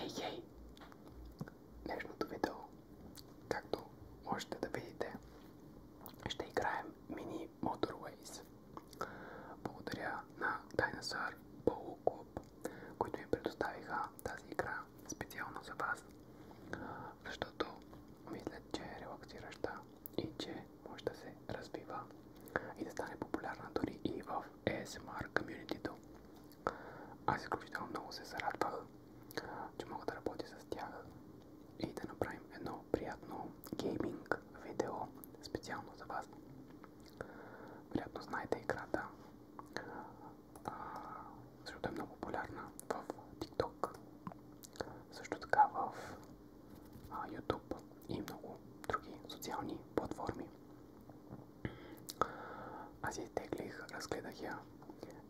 Ей, ей! Днешното видео, както можете да видите, ще играем мини Motorways. Благодаря на Dinosaur Polo Club, които ми предоставиха тази игра специално за вас, защото мисля, че е релаксираща и че може да се развива и да стане популярна дори и в ASMR комьюнитито. Аз изключително много се зарадвах, че мога да работя с тях и да направим едно приятно гейминг видео специално за вас. Вероятно знаете играта, а, защото е много популярна в TikTok, също така в YouTube и много други социални платформи. Аз изтеглих, разгледах я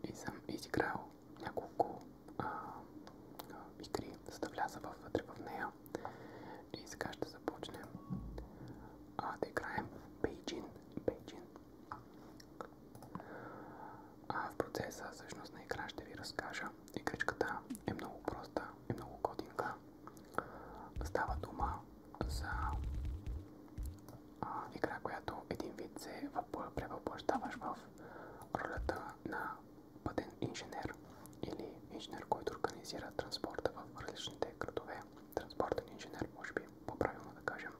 и съм изиграл няколко игри, за вътре в нея. И сега ще започнем да играем Beijing. Beijing. А, в процеса всъщност на игра ще ви разкажа. Игричката е много проста, и много кодинга. Италия. Става дума за а, игра, която един вид се превъплащаваш в ролята на пътен инженер или инженер, който организира транспорта в различните градове. Транспортен инженер, може би по-правилно да кажем.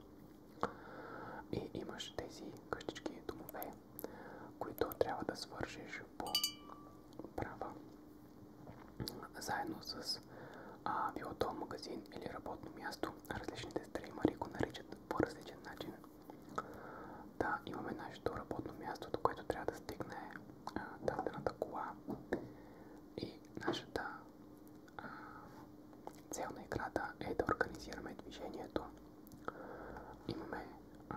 И имаш тези къщички домове, които трябва да свършиш по права. Заедно с а, било то магазин или работно място, различните стримари го наричат по различен начин. Да, имаме нашето работно място, до което трябва да стигне дадената кола и нашата а, цел на играта е да организираме движението. Имаме а,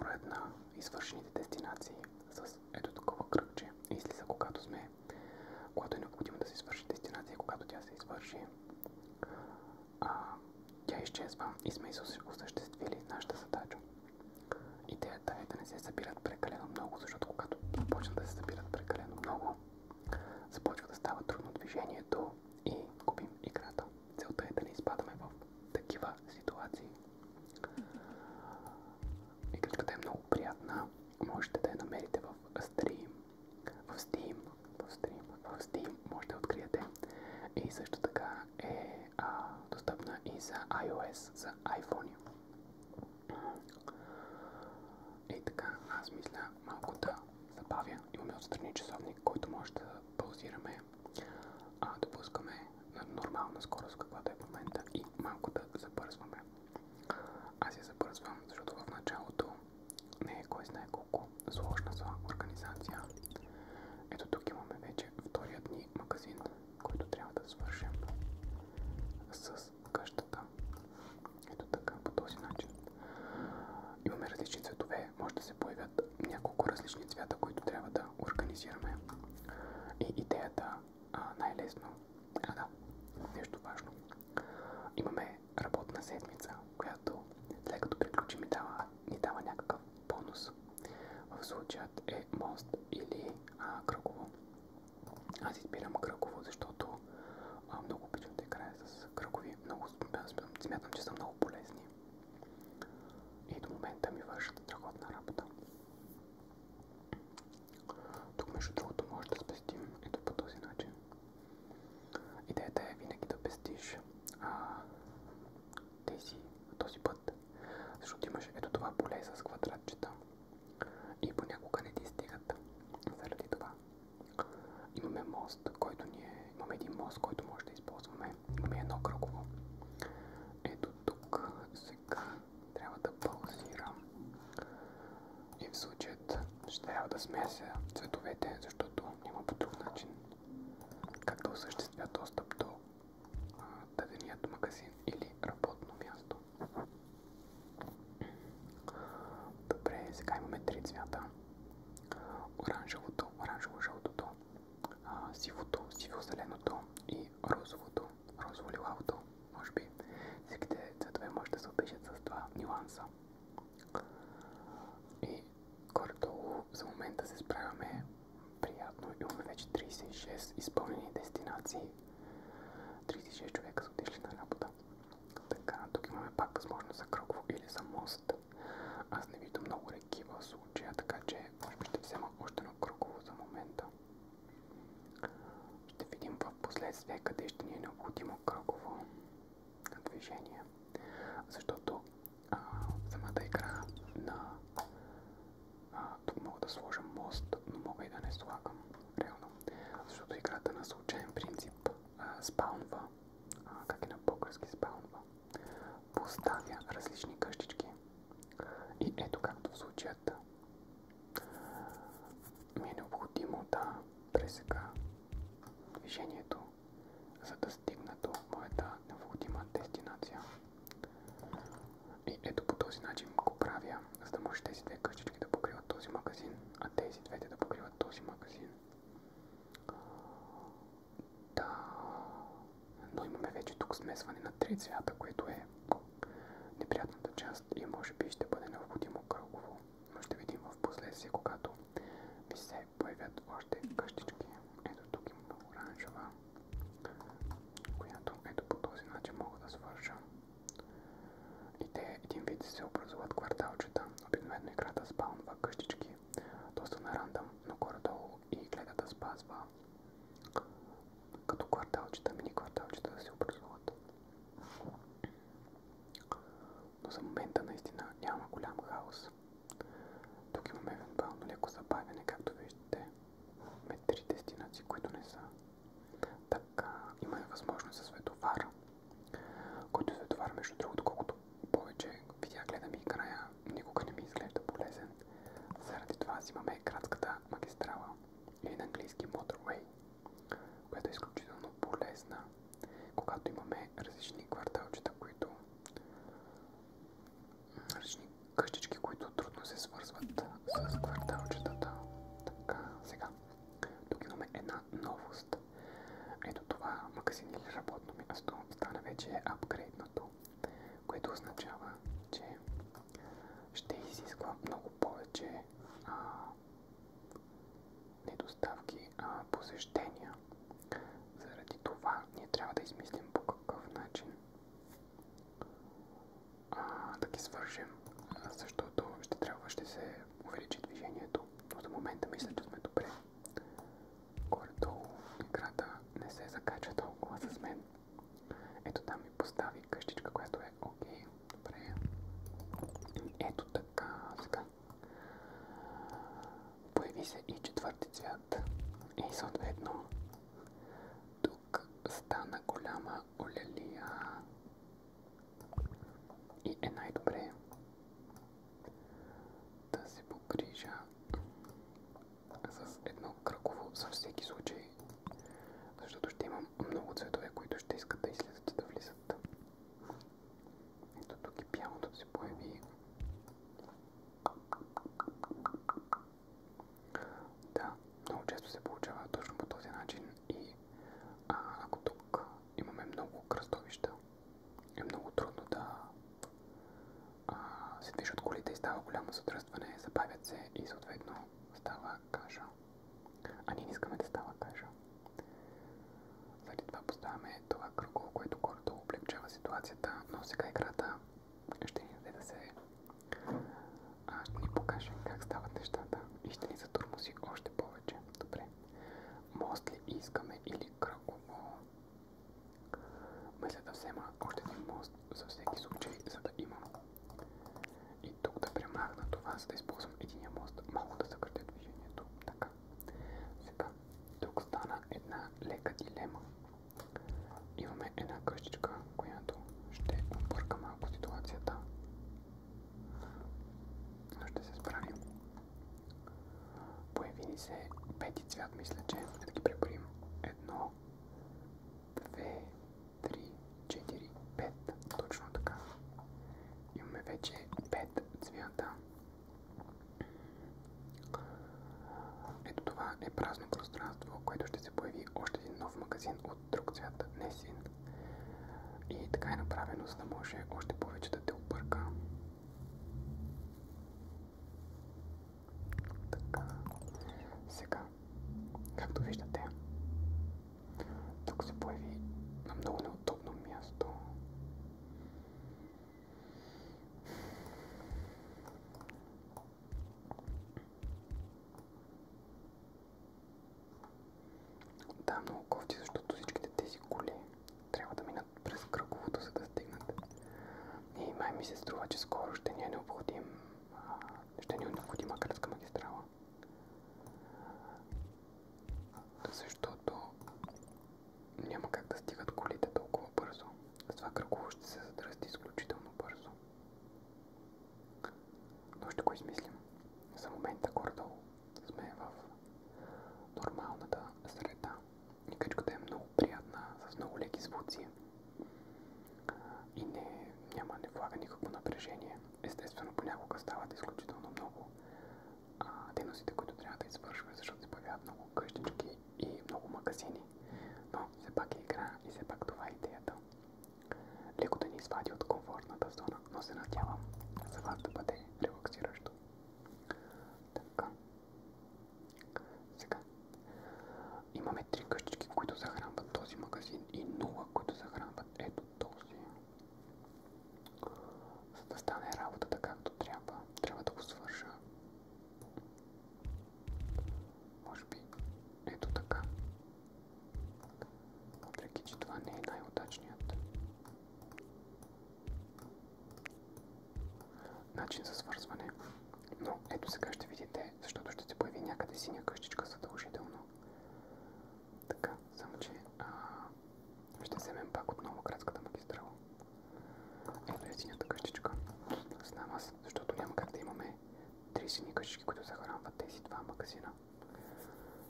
броят на извършените дестинации с ето такова кръгче излиза, когато сме, когато е необходимо да се извърши дестинация, когато тя се извърши, а, тя изчезва и сме осъществили нашата задача. Идеята е да не се събират прекалено много, защото когато започнат да се събират прекалено много, започва да става трудно движението и губим играта. Целта е да не изпадаме в такива ситуации. Игричката е много приятна. Можете да я намерите в Stream. В Steam. В Steam. В Steam можете да откриете. И също така е а, достъпна и за iOS, за iPhone. И така, аз мисля малко да забавя. Имаме отстрани часовник, който може да паузираме а допускаме на нормална скорост, каквато е в момента и малко да забързваме. Аз я забързвам, защото в началото не е кой знае колко сложна за организация. Ето тук имаме вече вторият ни магазин, който трябва да свършим с къщата. Ето така, по този начин. Имаме различни цветове, може да се появят няколко различни цвята, които трябва да организираме. И идеята най-лесно. е да, нещо важно. Имаме работна седмица, която след като приключим и дава, ни дава някакъв бонус. В случаят е мост или а, кръгово. Аз избирам кръгово, защото а, много обичам да играя с кръгови. Много смятам, че са много полезни. И до момента ми вършат страхотна работа. Тук между другото може да спестим ето по този начин. Идеята е винаги да пестиш а, тези, този път, защото имаш ето това поле с квадратчета и понякога не ти стигат заради това. Имаме мост, който ние, имаме един мост, който може да използваме. Имаме едно кръгово. Ето до тук. Сега трябва да паузирам. И в случаят ще трябва да смеся цветовете, защото няма по друг начин как да осъществя достъп до а, даденият магазин или работно място. Добре, сега имаме три цвята. Оранжевото, оранжево-жълтото а, сивото, сиво-зеленото и розовото, розово-лилавото. Може би всичките цветове може да се опишат с два нюанса. И горе-долу за момента се справяме приятно. Имаме вече 36 изпълнени дестинации. 36 човека са отишли на работа. Така, тук имаме пак възможност за кръгово или за мост. Аз не виждам много реки в случая, така че може би ще взема още едно кръгово за момента. Ще видим в последствие къде ще ни е необходимо кръгово движение. Защото а, самата игра на... А, тук мога да сложа мост, но мога и да не слагам, реално. Защото играта на случайен принцип а, спаунва, а, как и на български спаунва поставя различни къщички. И ето както в случаята ми е необходимо да пресека движението, за да стигна до моята необходима дестинация. И ето по този начин го правя, за да може тези две къщички да покриват този магазин, а тези двете да покриват този магазин. Да, но имаме вече тук смесване на три цвята, което е неприятната част и може би ще бъде необходимо кръгово, но ще видим в последствие, когато ми се появят още къщички. Ето тук има оранжева, която ето по този начин мога да свържа. И те един вид се образуват кварталчета. Обикновено играта спаунва къщички, доста на рандъм, но горе-долу и гледа спазва като кварталчета, мини кварталчета да се образуват. Но за момента наистина няма голям хаос. Тук имаме евентуално леко забавяне, както виждате. Имаме три които не са. Така, имаме възможност за световар, който е световар, между другото, колкото повече видя гледам и края никога не ми изглежда полезен. Заради това взимаме градската магистрала или на английски motorway, която е изключително полезна, когато имаме различни кварталчета, които различни къщички, които трудно се свързват с кварталчетата. Така, сега. Тук имаме една новост. Ето това магазин или работно място стана вече апгрейднато което означава, че ще изисква много повече а, недоставки, а посещения. Заради това ние трябва да измислим по какъв начин а, да ги свържем, защото ще трябва ще се увеличи движението. Но за момента мисля, че сме добре. Горе-долу играта не се закача толкова с мен. Ето там ми постави къщичка, която е окей. Okay. Добре. Ето така. Сега. Появи се и четвърти цвят. И съответно тук стана голяма олелия. И е най-добре да се погрижа с едно кръгово за всеки случай, защото ще имам много цветове, които ще искат да излизат и да влизат. Ето тук и пианото се появи. Да, много често се получава точно по този начин и а, ако тук имаме много кръстовища, е много трудно да а, се движат колите и става голямо задръстване, забавят се и съответно става каша. А ние не искаме да става каша. Заради това поставяме това кръгло, което гордо облегчава ситуацията, но сега играта ще ни даде да се... А, ще ни покаже как стават нещата и ще ни затурмоси още повече. Добре. Мост ли искаме или кръгово? Мисля да взема още един мост за всеки случай, за да имам. И тук да премахна това, за да използвам единия мост. Малко да съкратя движението. Така. Сега, тук стана една лека дилема. Имаме една къщичка, която ще обърка малко ситуацията. Но ще се справим. Появи ни се пети цвят, мисля, че да ги преборим. Едно, 2, 3, 4, 5. Точно така. Имаме вече 5 цвята. Ето това е празно пространство, което ще се появи още един нов магазин от друг цвят, не син. И така е направено, за да може още повече да те обърка. Така. Сега, както виждате, тук се появи на много неудобно място. Да, много кофти, защото всичките тези коли трябва да минат през кръговото, за да стигнат. И е, май ми се струва, че скоро ще ни е необходим ще ни е необходима градска магистрала. Защото няма как да стигат колите толкова бързо. това кръгово ще се задръсти изключително бързо. Но ще го измислим. За момента горе сме в нормалната среда. И е много приятна, с много леки звуци. И не, няма, не влага никакво напрежение. Естествено, понякога стават изключително много а, дейностите, които трябва да извършваме, защото се появяват много къщички и много магазини. Но все пак е игра и все пак това е идеята. Леко да ни извади от комфортната зона, но се надявам за вас да бъде релаксиращо. Така имаме три къщички, които захранват този магазин и нула, които захранват ето този. За да стане работата както трябва, трябва да го свърша. Може би ето така. Въпреки, че това не е най-удачният начин за свързване. Но ето сега ще видите защото ще се появи някъде синя къщичка задължително. Така, само че ще вземем пак отново градската магистрала. Ето е къщичка. Знам аз, защото няма как да имаме три сини къщички, които захранват тези два магазина.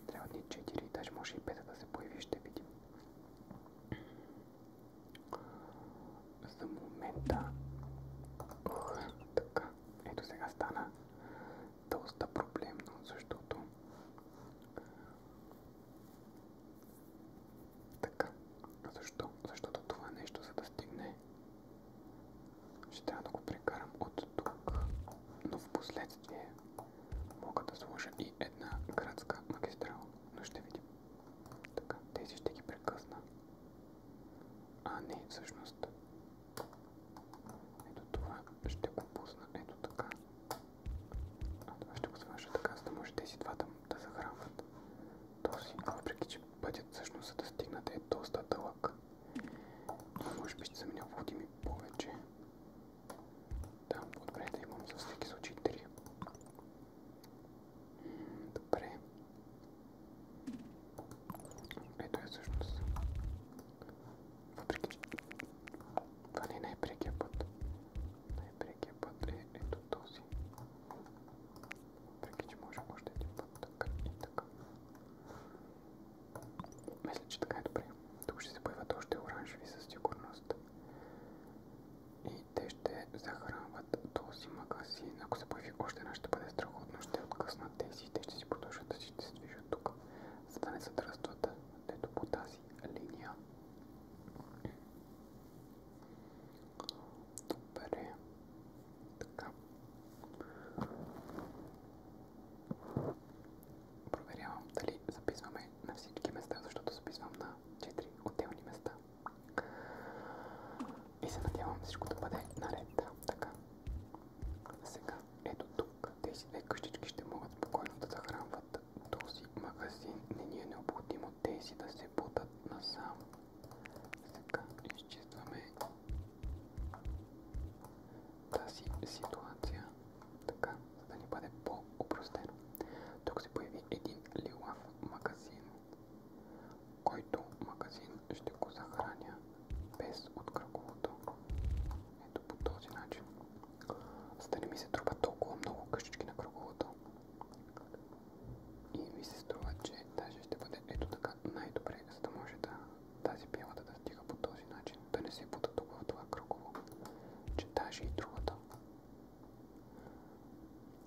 Трябва да ни 4, даже може и 5 да се появи, ще видим. За момента... Ох, така. Ето сега стана доста проблемно, защото така. Защо? Защото това нещо, за да стигне, ще трябва да го прекарам от тук. Но в последствие мога да сложа и една градска магистрала. Но ще видим. Така, тези ще ги прекъсна. А, не, всъщност. Ето това ще го пусна. Ето така. А това ще го свържа така, за да може тези двата да захранват този. Въпреки, че пътят всъщност за да стигнат е доста дълъг. Но може би ще са ми необходими повече. Да, добре да имам за всеки случай 3. Добре. Е, е това не е най-прекия път. Мисля, че така е добре. Тук ще се появят още оранжеви със сигурност. И те ще захранват този магазин, ако се дори още една ще бъде страхотно, ще откъснат тези и те ще си продължат да си ще се движат тук, за да не се дръстват ето по тази линия. Добре. Така. Проверявам дали записваме на всички места, защото записвам на 4 отделни места и се надявам всичко да бъде наред. Да, така. Сега, ето тук, тези две къщички ще могат спокойно да захранват този магазин. Не ни е необходимо тези да се бутат насам. Сега изчистваме тази ситуация, така, за да ни бъде по-опростено. Тук се появи един лилав магазин който магазин ще го захраня без от кръговото. Ето по този начин. За да не ми се трупа толкова много къщички на кръговото. И ми се струва, че даже ще бъде ето така най-добре, за да може да тази пилата да стига по този начин, да не се бута тук в това кръгово, че даже и другата.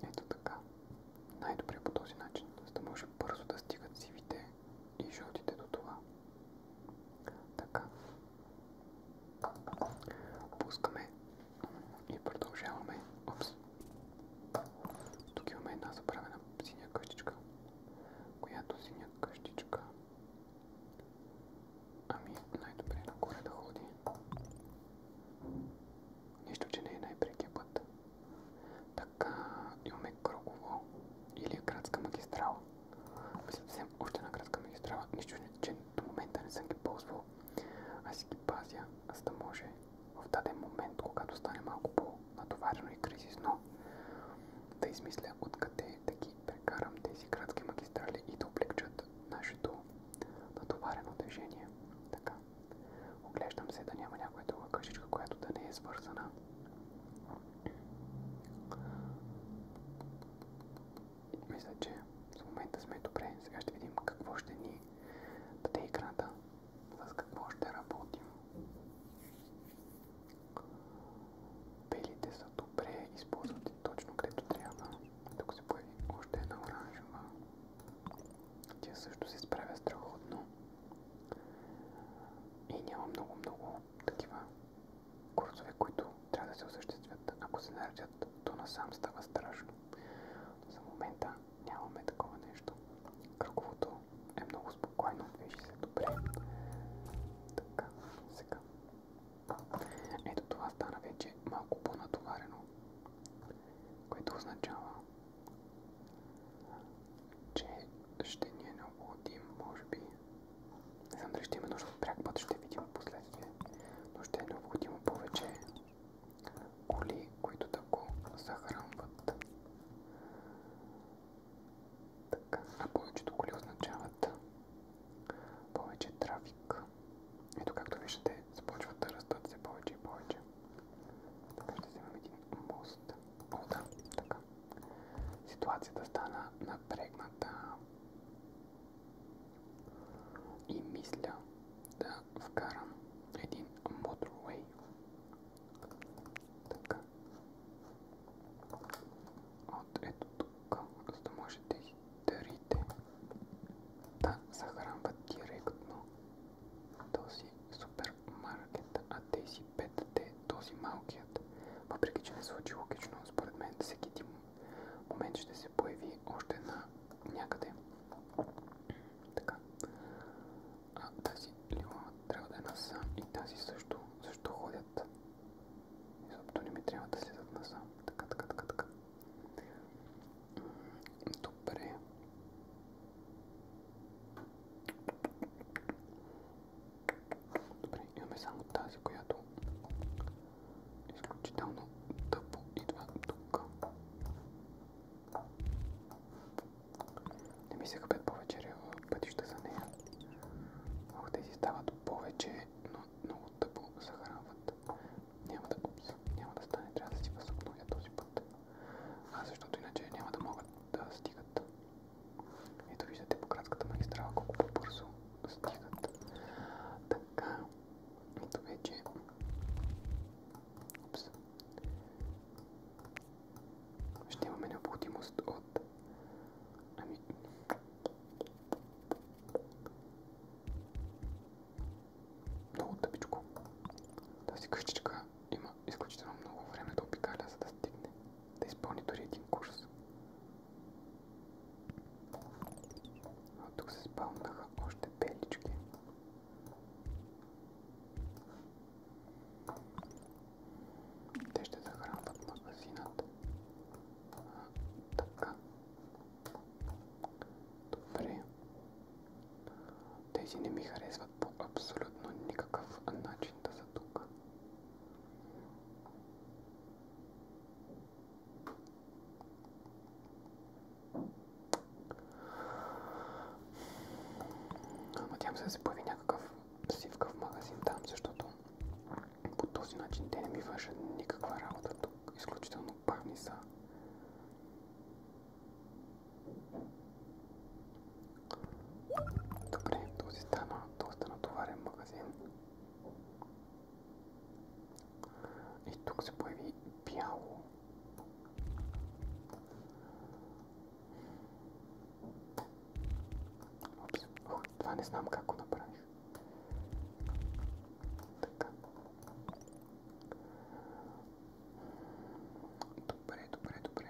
Ето така. Най-добре по този начин, за да може бързо да стигат сивите и жълтите до това. Така. Пускаме и продължаваме. Опс. Тук имаме една забравена синя къщичка, която синя къщичка Ами най-добре нагоре да ходи. Нищо, че не е най-прекия път. Така, имаме Кроково или градска магистрала. Мисля да взем още една градска магистрала. Нищо, че до момента не съм ги ползвал. Аз си ги пазя, за да може в даден момент, когато стане малко по-натоварено и кризисно, да измисля откъде да ги прекарам тези градски магистрали и да облегчат нашето натоварено движение. Така. Оглеждам се да няма някоя друга къщичка, която да не е свързана. Мисля, че за момента сме добре. Сега ще видим какво ще ни даде играта, с какво ще работим. Белите са добре, използват точно където трябва. Тук се появи още една оранжева. Тя също се справя страхотно. И няма много-много такива курсове, които трябва да се осъществят. Ако се наредят, то насам страшно. за момента нямаме такова нещо. Кръговото е много спокойно, движи се добре. Ето това стана вече малко по-натоварено, което означава, че ще ни е необходим, може би. Не знам ще има нужда от пряк път, ще видим последствие. Но ще е необходимо повече коли, които да го захранват. повечето коли означават повече трафик. Ето както виждате, започват да растат все повече и повече. Така ще вземем един мост. О, да, така. Ситуацията стана напрегната. И мисля да вкарам един motorway. Така. От ето тук, за да може тези дарите да захранват директно този супермаркет, а тези петте, този малкият. Въпреки, че не звучи логично, според мен всеки един момент ще се появи още на някъде. Така. А тази лилава трябва да е насам и тази също. Защо ходят? Изобщо не ми трябва да следят насам. Така, така, така, така. Добре. Добре, имаме само тази, която изключително тъпо идва тук. Не ми се хъпят повече пътища за нея. Много тези стават повече, но много тъпо захранват. Няма да, опс, няма да стане, трябва да си възобновя този път. А защото иначе няма да могат да стигат. Ето виждате по градската колко по-бързо стигат. Ще имаме необходимост от... Ами... Много къщичка има изключително много време да обикаля, за да стигне, да изпълни дори един курс. А тук се спалнаха още белички. Те ще захранват магазинът. Така. не ми харесват мислят по абсолютно никакъв начин да са тук. Надявам се да се появи някакъв сивкав магазин там, защото по този начин те не ми вършат никаква работа тук. Изключително парни са. Добре, този стана доста натоварен магазин. И тук се появи бяло. Опс, О, това не знам как го направих. Така. Добре, добре, добре.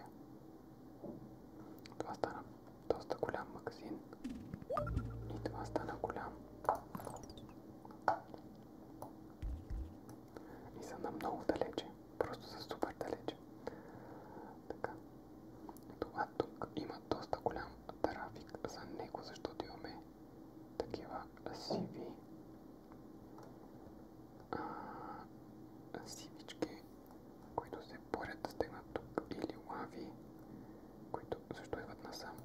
Това стана доста голям магазин. И това стана голям. И са на много далече. Просто са супер далече. Така. Това тук има доста голям трафик за него, защото имаме такива сиви а, сивички, които се борят да стигнат тук, или лави, които също идват насам.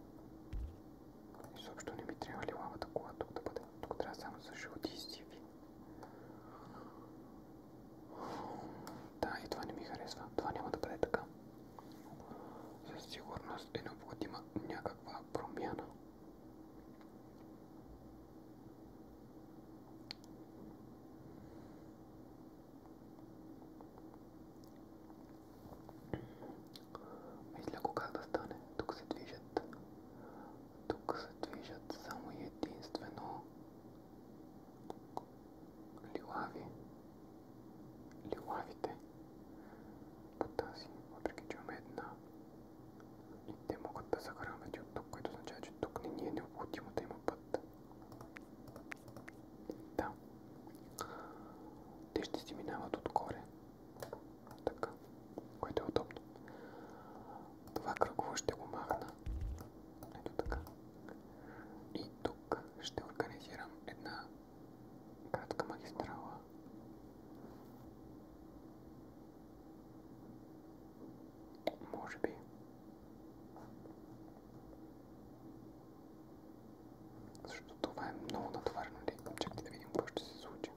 Изобщо не ми трябва ли лавата кола тук да бъде. Тук трябва само за жълти и сиви. Да, и това не ми харесва. Това няма да бъде така. Със сигурност е необходима някаква промяна. Мисля го как да стане. Тук се движат. Тук се движат само единствено лилави. Лилавите. По тази, въпреки че имаме една и те могат да захранват и от тук, което означава, че тук не ни е необходимо да има път. Да. Те ще си минават отгоре. Така. Което е удобно. Това кръгово ще го махна. Ето така. И тук ще организирам една кратка магистрала. Може би. Защото това е много натоварено лейкъм. Нали? Чакайте да видим какво ще се случи.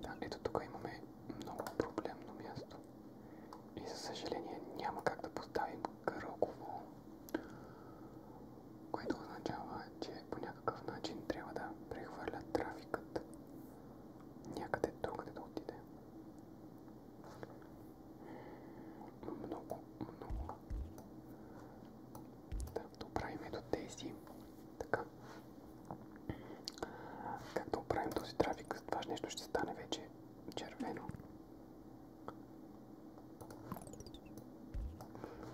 Да, ето тук имаме много проблемно място. И за съжаление няма как да поставим кръгово. Което означава, че по някакъв начин трябва да прехвърля трафикът някъде другаде да отиде. Много, много. Да, да оправим ето тези. Така. Как да оправим този трафик? Това нещо ще стане вече червено.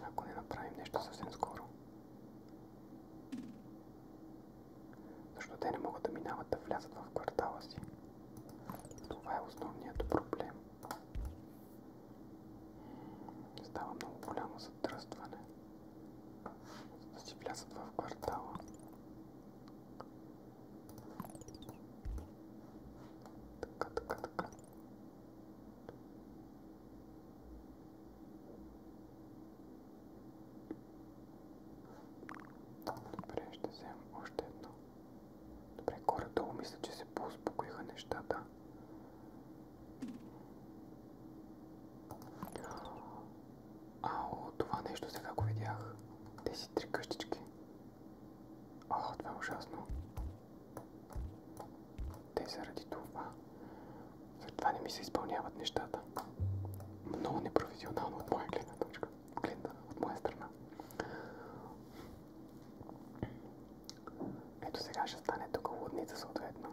Ако не направим нещо съвсем скоро. Защото те не могат да минават да влязат в квартала си. Това е основният проблем. Става много голямо задръстване. За да си влязат в квартала. Така, така, така. Добре, ще вземем още едно. Добре, горе-долу мисля, че се по-успокоиха нещата. Ао, това нещо сега го видях. Тези три къщички. О, това е ужасно. Те заради това затова не ми се изпълняват нещата. Много непрофесионално от моя гледна точка. Гледна от моя страна. Ето сега ще стане тук лудница съответно.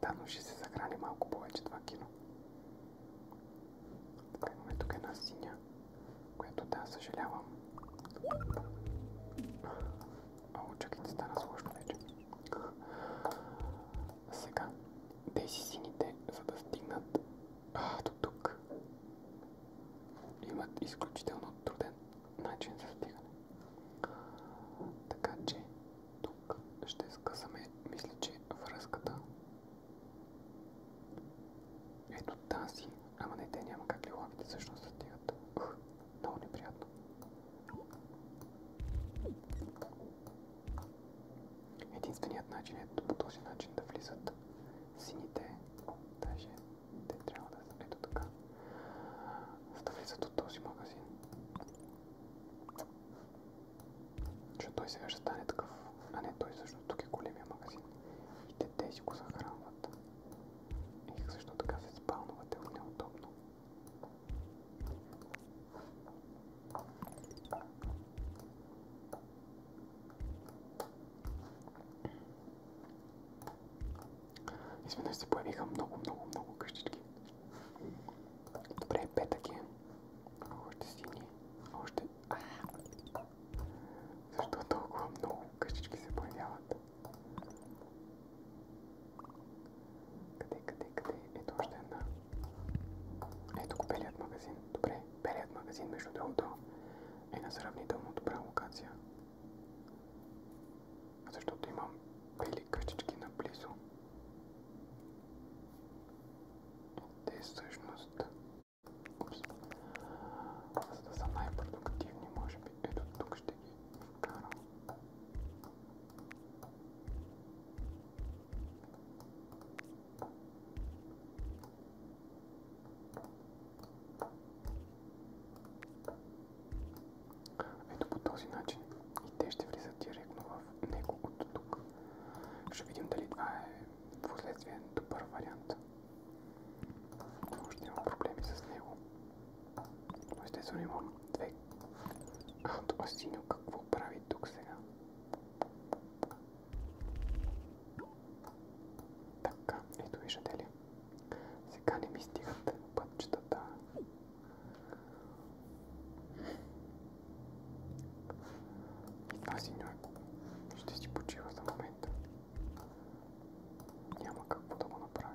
Да, но ще се захрани малко повече това кино. имаме тук една синя, която да, съжалявам. О, чакайте, стана сложно вече. Сега, тези сините, за да стигнат а, до тук, имат изключително труден начин за стигане. Така че, тук ще скъсаме, мисля, че връзката. Ето тази, ама не, те няма как ли лавите всъщност да стигат. Много неприятно. Единственият начин е по този начин да влизат сините, даже те трябва да са ето така, за да влизат от този магазин. Защото той сега ще стане такъв, а не той всъщност тук е големия магазин. И те тези го захранват. Ех, също така се спалнуват е неудобно. Изведнъж се появиха много, много, много къщички. Добре, петък е. Още сини. Още... Защо толкова много къщички се появяват? Къде, къде, къде? Ето още една. Ето го белият магазин. Добре, белият магазин, между другото, е на сравнително добра локация. Защото имам бели къщички наблизо. Те всъщност... Упс. За да са най-продуктивни, може би. Ето тук ще ги вкарам. Ето по този начин и те ще влизат директно в него от тук. Ще видим дали това е в последствие добър вариант. Но ще има проблеми с него. Естествено да имам две. А, това синьо какво прави тук сега? Така, ето виждате ли. Сега не ми стигат пътчетата. И това синьо ще си почива за момента. Няма какво да го направя.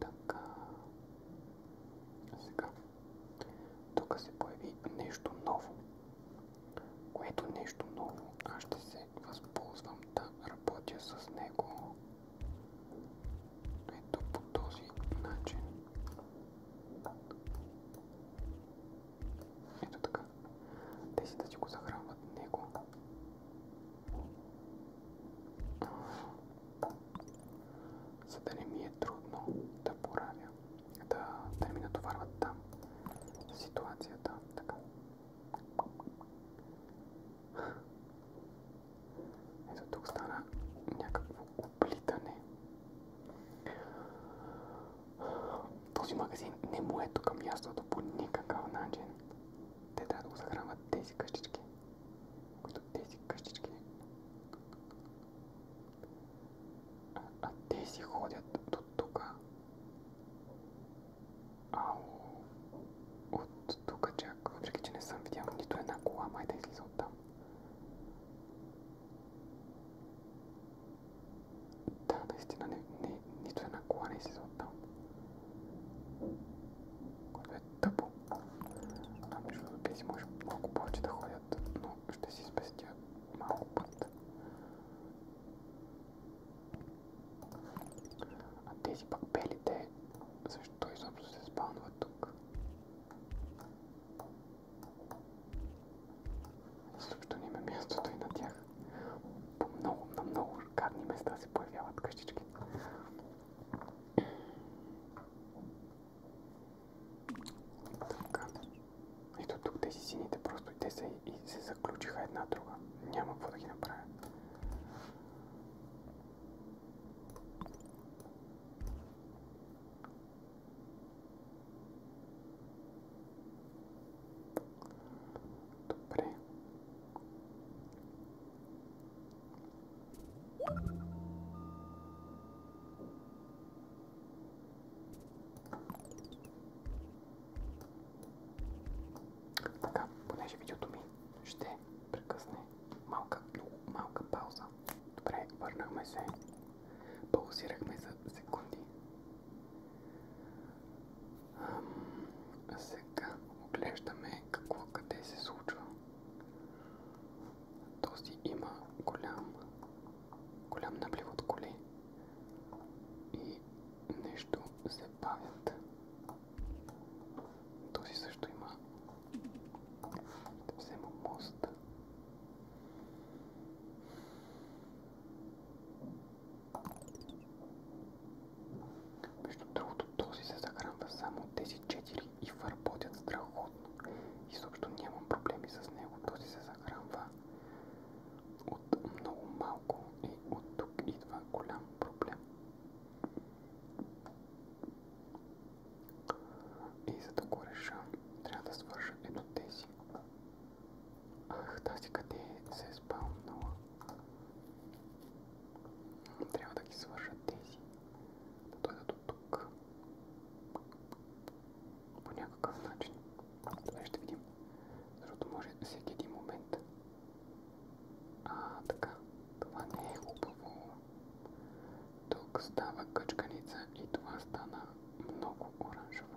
Така. Сега. Тук се появи нещо ново. Което нещо ново аз ще се възползвам да работя с него. Ето по този начин. Ето така. Тези да си го захранват него за да не ми е трудно да поравя, да, да ми натоварват там ситуацията. Така. Ето тук стана някакво оплитане. Този магазин не му е тук мястото по никакъв начин те трябва да го захранват тези къщички, които тези ходят до тук. Ау. От тук чак, въпреки че не съм видял нито една кола, излиза от там. Да, наистина не, не, нито една кола не излиза от е тъпо. А между повече да ходят, но ще си спестя малко път. А тези пак белите, защо изобщо се спалнват тук? Също не мястото и на тях. По много, на много шикарни места се появяват къщички. Така. Ето тук тези сините просто те се, и се заключиха една друга. Няма какво да ги направя. Добре. Така, понеже видеото ми ще прекъсне малка, много малка пауза. Добре, върнахме се. Паузирахме за секунди. А сега оглеждаме какво къде се случва. Този има голям, голям наплив от коли и нещо се бавят. Този също има. Да взема мост. Между другото, този се захранва само от тези четири и върботят страхотно. Изобщо нямам проблеми с него. Този се захранва от много малко и от тук идва голям проблем. И за да го реша, трябва да свържа ето тези. Ах, тази къде е? се е спавного. Треба так і сважитись. Тут это тут. По какъв начин. Това ще видим. Защото може да всеки един момент. А, така. Това не е хубаво. Тук става къчканица и това стана много оранжево.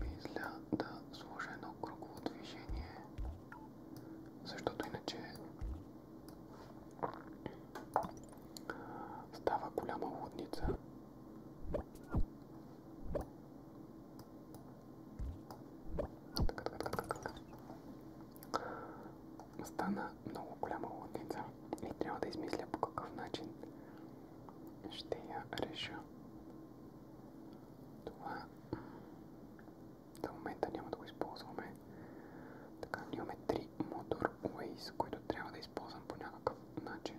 Мисля да сложа едно кругово движение, защото иначе става голяма лудница. Така, така, така, така. Стана много голяма лудница и трябва да измисля по какъв начин ще я реша. Това до момента няма да го използваме. Така, имаме три мотор Waze, които трябва да използвам по някакъв начин.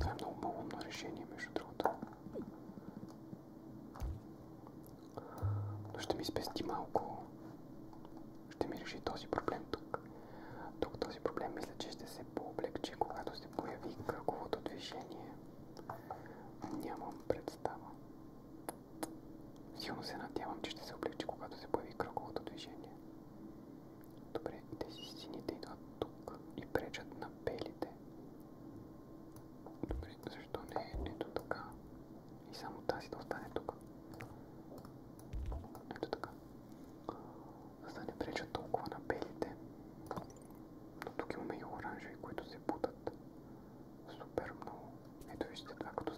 Това е много малумно решение, между другото. Но ще ми спести малко. Ще ми реши този проблем тук. Тук този проблем мисля, че ще се пооблегчи, когато се появи кръговото движение. Нямам представа. Силно се надявам, че ще се облегчи, когато се появи кръговото движение. Добре, тези сините идват тук и пречат на белите. Добре, защо не ето така? И само тази да остане тук. Ето така. За да не пречат толкова на белите. Но тук имаме и оранжеви, които се бутат супер много. Ето вижте това, като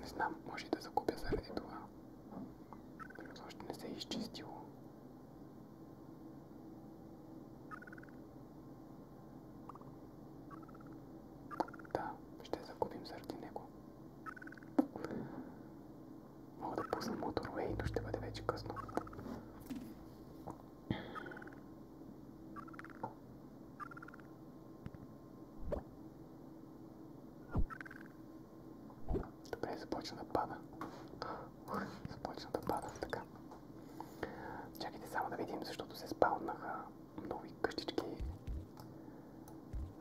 Не знам, може и да загубя заради това. Плюс още не се е изчистило. Да, ще загубим заради него. Мога да пусна моторвей, но ще бъде вече късно. Добре, започна да пада. започна да пада така. Чакайте само да видим, защото се спалнаха нови къщички.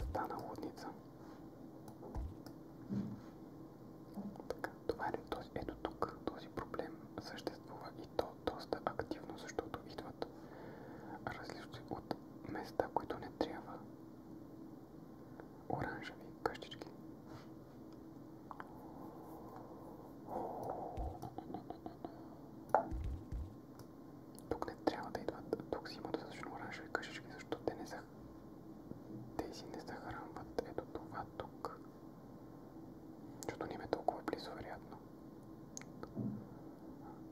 Стана лудница. Така, това е този, ето тук този проблем съществува и то доста активно, защото идват различни от места, които не трябва. Оранжеви къщички. Тук не трябва да идват. Тук си има достатъчно оранжеви къщички, защото те не са. Тези не захранват. Ето това тук. Защото не ме толкова близо, вероятно.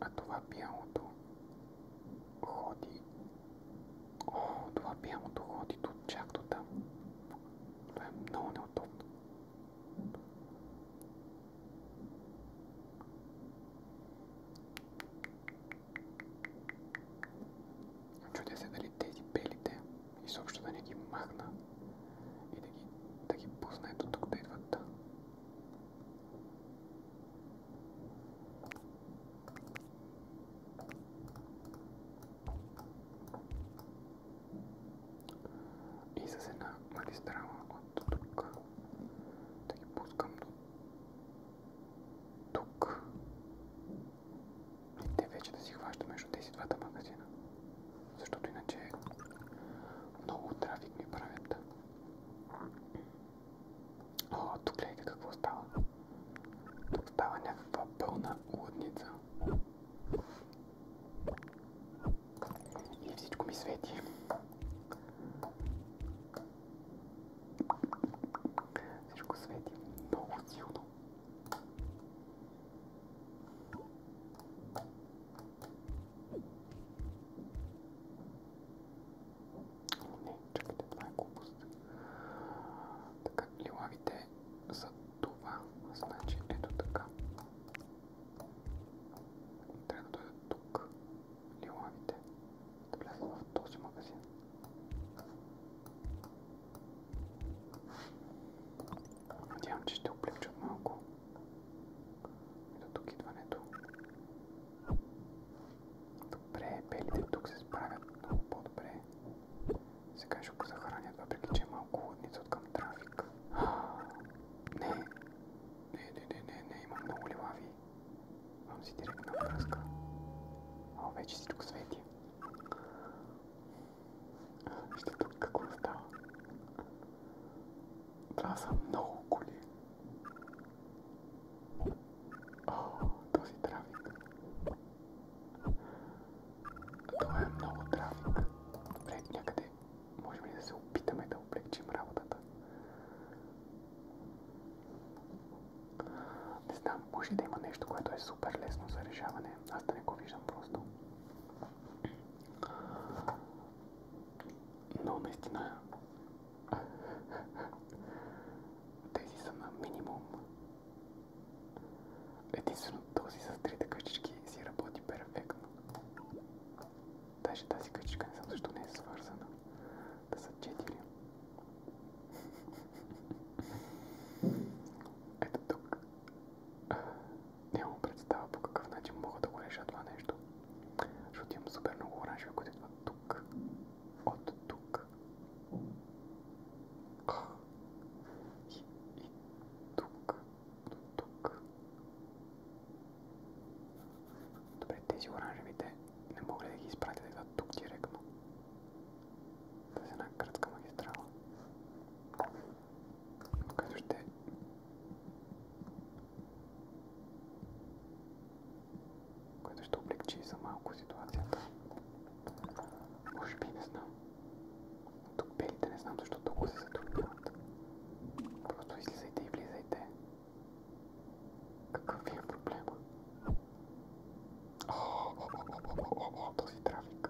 А това бялото ходи. О, това бялото ходи до чак до там. Това е много неудобно. Чудя се дали тези белите изобщо да не ги махна и да ги, да ги пусна ето тук да идват. И с една магистрала от тук да ги пускам до тук те вече да си хваща между тези двата магазина. Защото иначе много трафик ми правят. О, тук гледайте какво става. Тук става някаква пълна лудница. И всичко ми свети. Всичко свети много силно. Не, чакайте, това е глупост. Така, лилавите са това. Значи, ето така. Трябва да дойдат тук. Лилавите. Да влязат в този магазин. Надявам, че ще облегчат малко до тук идването. Добре, белите тук се справят много по-добре. Сега ще го захранят, въпреки че е малко хладница от към трафик. Не, не, не, не, не, не, имам много лилави. Имам си директна връзка. О, вече всичко свети. Вижте тук какво става. са много коли. Това е много трафик. Добре, някъде можем ли да се опитаме да облегчим работата? Не знам, може да има нещо, което е супер лесно за решаване. Аз да не го виждам просто. Но наистина тези са на минимум. Единствено този с трите къщички си работи перфектно. Даже тази къщичка не знам защо не е свързана. Да са четири. Ето тук нямам представа по какъв начин мога да го реша това нещо. Защото имам супер много оранжеви, които идват тук. От тук. И, и тук. До тук. Добре, тези оранжевите не мога ли да ги изпратя да идват тук директно? С една кръцка магистрала. Като ще... Е. Което ще облегчи за малко ситуацията. Може би не знам. Тук белите не знам защо толкова се затрудняват. Просто излизайте и влизайте. Какъв ви е проблема? О, о, о, о, о, о, о, този трафик.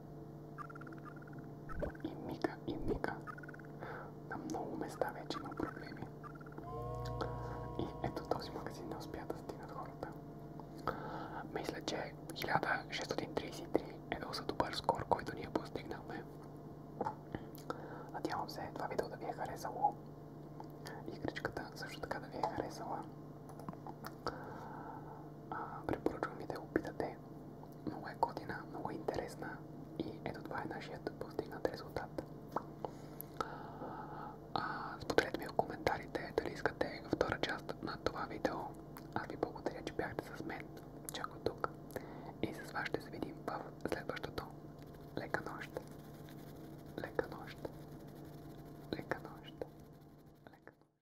На много места вече има проблеми. И ето този магазин не успя да стигнат хората. Мисля, че 1633 е доста добър скор, който ние постигнахме. Надявам се това видео да ви е харесало. Игричката също така да ви е харесала. Препоръчвам ви да го питате. Много е година, много е интересна и ето това е нашият постигнат резултат. Споделете ми в коментарите дали искате втора част на това видео. Аз ви благодаря, че бяхте с мен. Чак от тук. И с вас ще се видим в следващото. Лека нощ! Лека нощ! Лека нощ!